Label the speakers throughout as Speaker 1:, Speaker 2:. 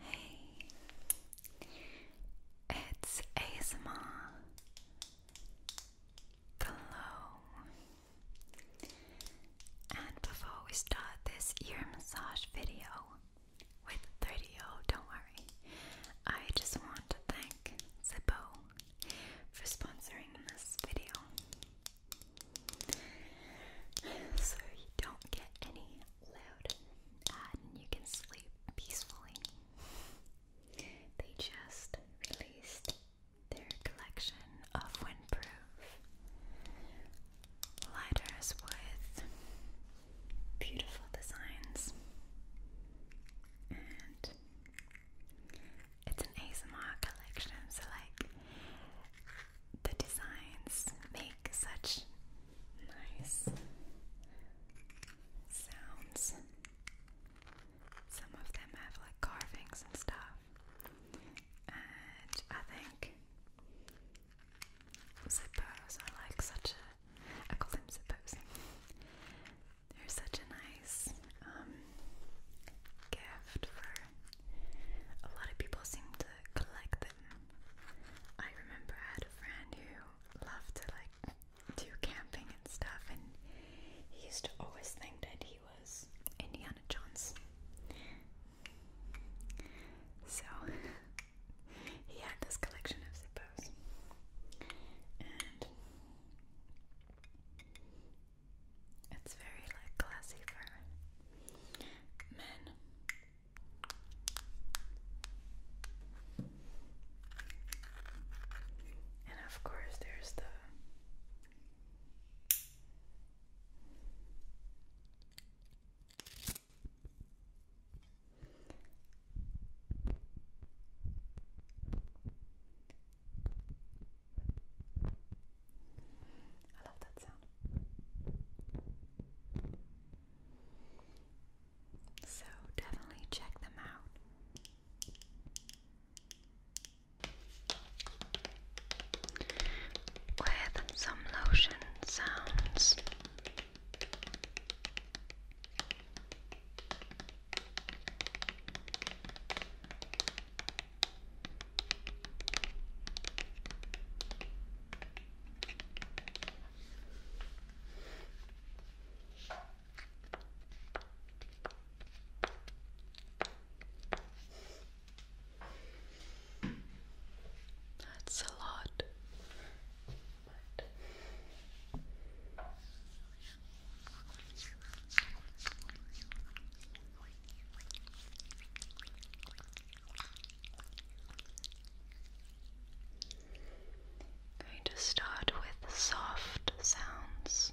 Speaker 1: Hey, it's ASMR Glow. And before we start this ear massage video with 30O, don't worry, I just want to thank Zippo for sponsoring this video so you don't get any loud and you can sleep peacefully. They just released their collection of windproof lighters with beautiful designs and it's an ASMR collection so like the designs make such nice sounds. Some of them have like carvings and stuff, and I think zippos are like such a. I call them zippos. They're such a nice um, gift for. A lot of people seem to collect them. I remember I had a friend who loved to like do camping and stuff, and he used to always think that he was Indiana Jones. So he had this collection, I suppose, and it's very like classy for men. And of course, there's the I love that sound. So definitely check them out. With some lotion sounds. That's a lot. But going to start with soft sounds.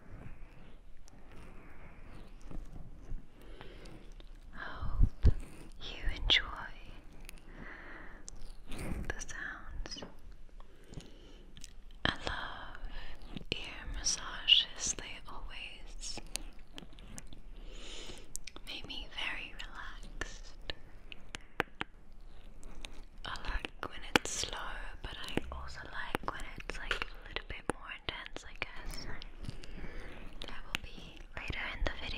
Speaker 1: Hope you enjoy the sounds. I love ear massages, they always make me very relaxed. I like when it's slow, but I also like when it's like a little bit more intense, I guess. That will be later in the video.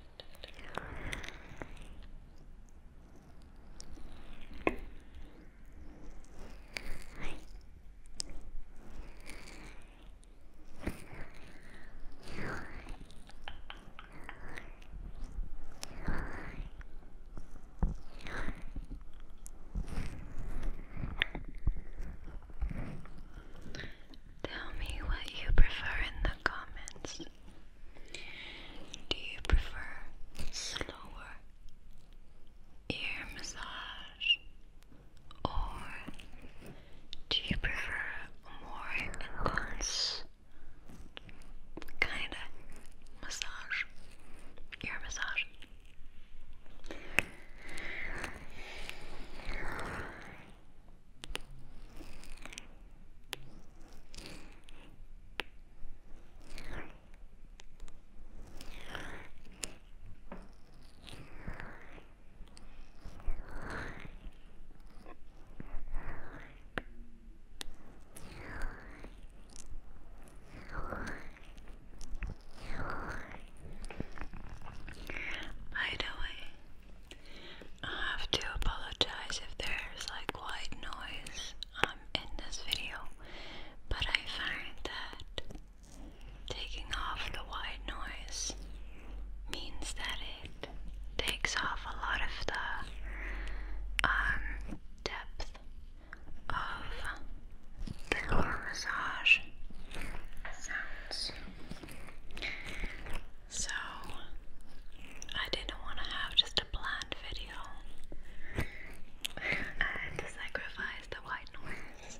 Speaker 1: Tell me what you prefer in the comments. Do you prefer slower ear massage or do you prefer more intense kind of massage? Ear massage. By the way, I have to apologize if there's like white noise um, in this video, but I find that taking off the white noise means that it takes off a lot of the um, depth of the massage sounds. So, I didn't want to have just a bland video. I had to sacrifice the white noise.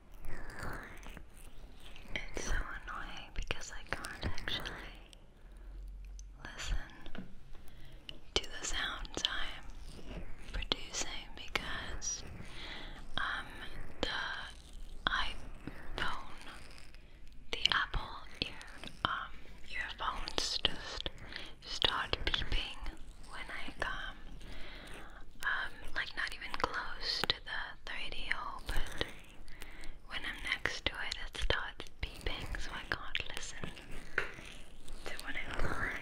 Speaker 1: It's so annoying because I can't actually listen to the sounds I'm producing because um the iPhone the Apple ear um earphones just start beeping when I come um, like not even close to the 30 hole, but when I'm next to it, it starts beeping, so I can't listen to what it's playing.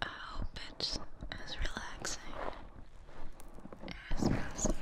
Speaker 1: I hope it's as relaxing as possible.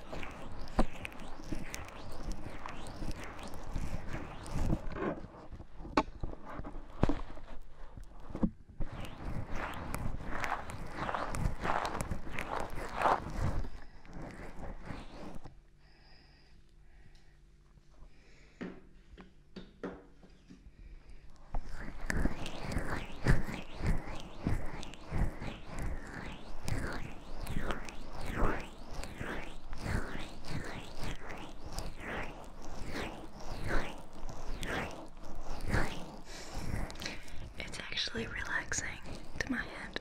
Speaker 1: It's actually relaxing to my head.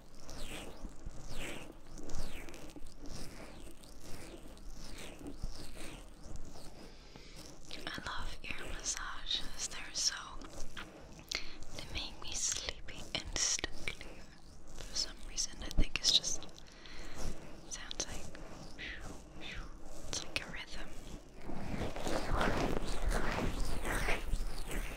Speaker 1: I love ear massages, they're so they make me sleepy instantly. For some reason I think it's just sounds like it's like a rhythm.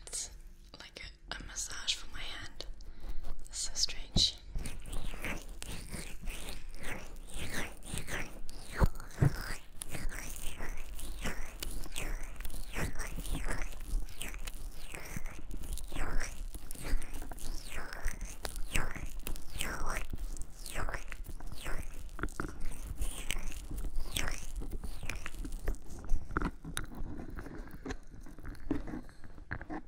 Speaker 1: It's like a massage for my hand. That's so strange.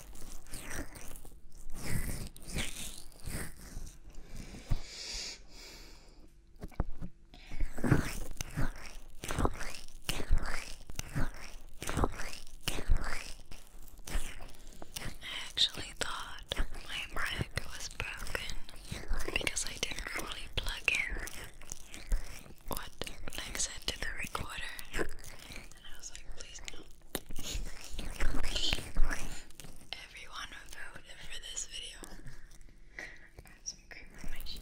Speaker 1: I actually thought my mic was broken because I didn't really plug in what Lang said to the recorder, and I was like, please no. Everyone voted for this video. I have some cream on my chin.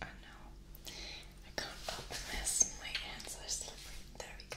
Speaker 1: Oh no, I can't open this. My hands are slippery. There we go.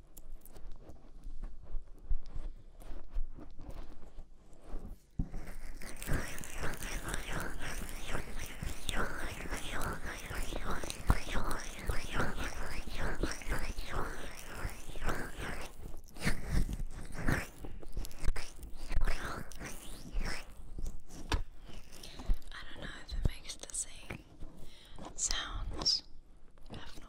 Speaker 1: I don't know if it makes the same sounds. I have no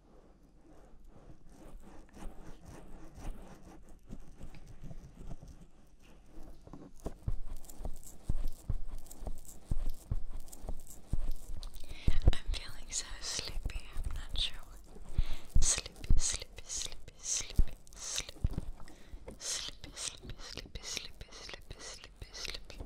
Speaker 1: I'm feeling so sleepy. I'm not sure what. Sleepy, sleepy, sleepy, sleepy, sleepy, sleepy, sleepy, sleepy, sleepy, sleepy, sleepy, sleepy.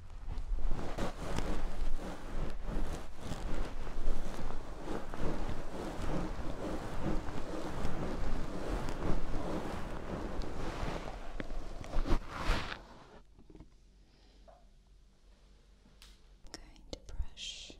Speaker 1: going to brush your ears. Good.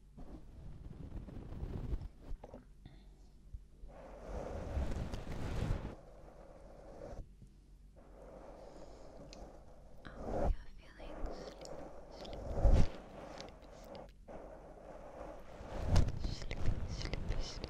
Speaker 1: Oh, you're feeling sleepy, sleepy, sleepy, sleepy, sleepy, sleepy. Sleepy,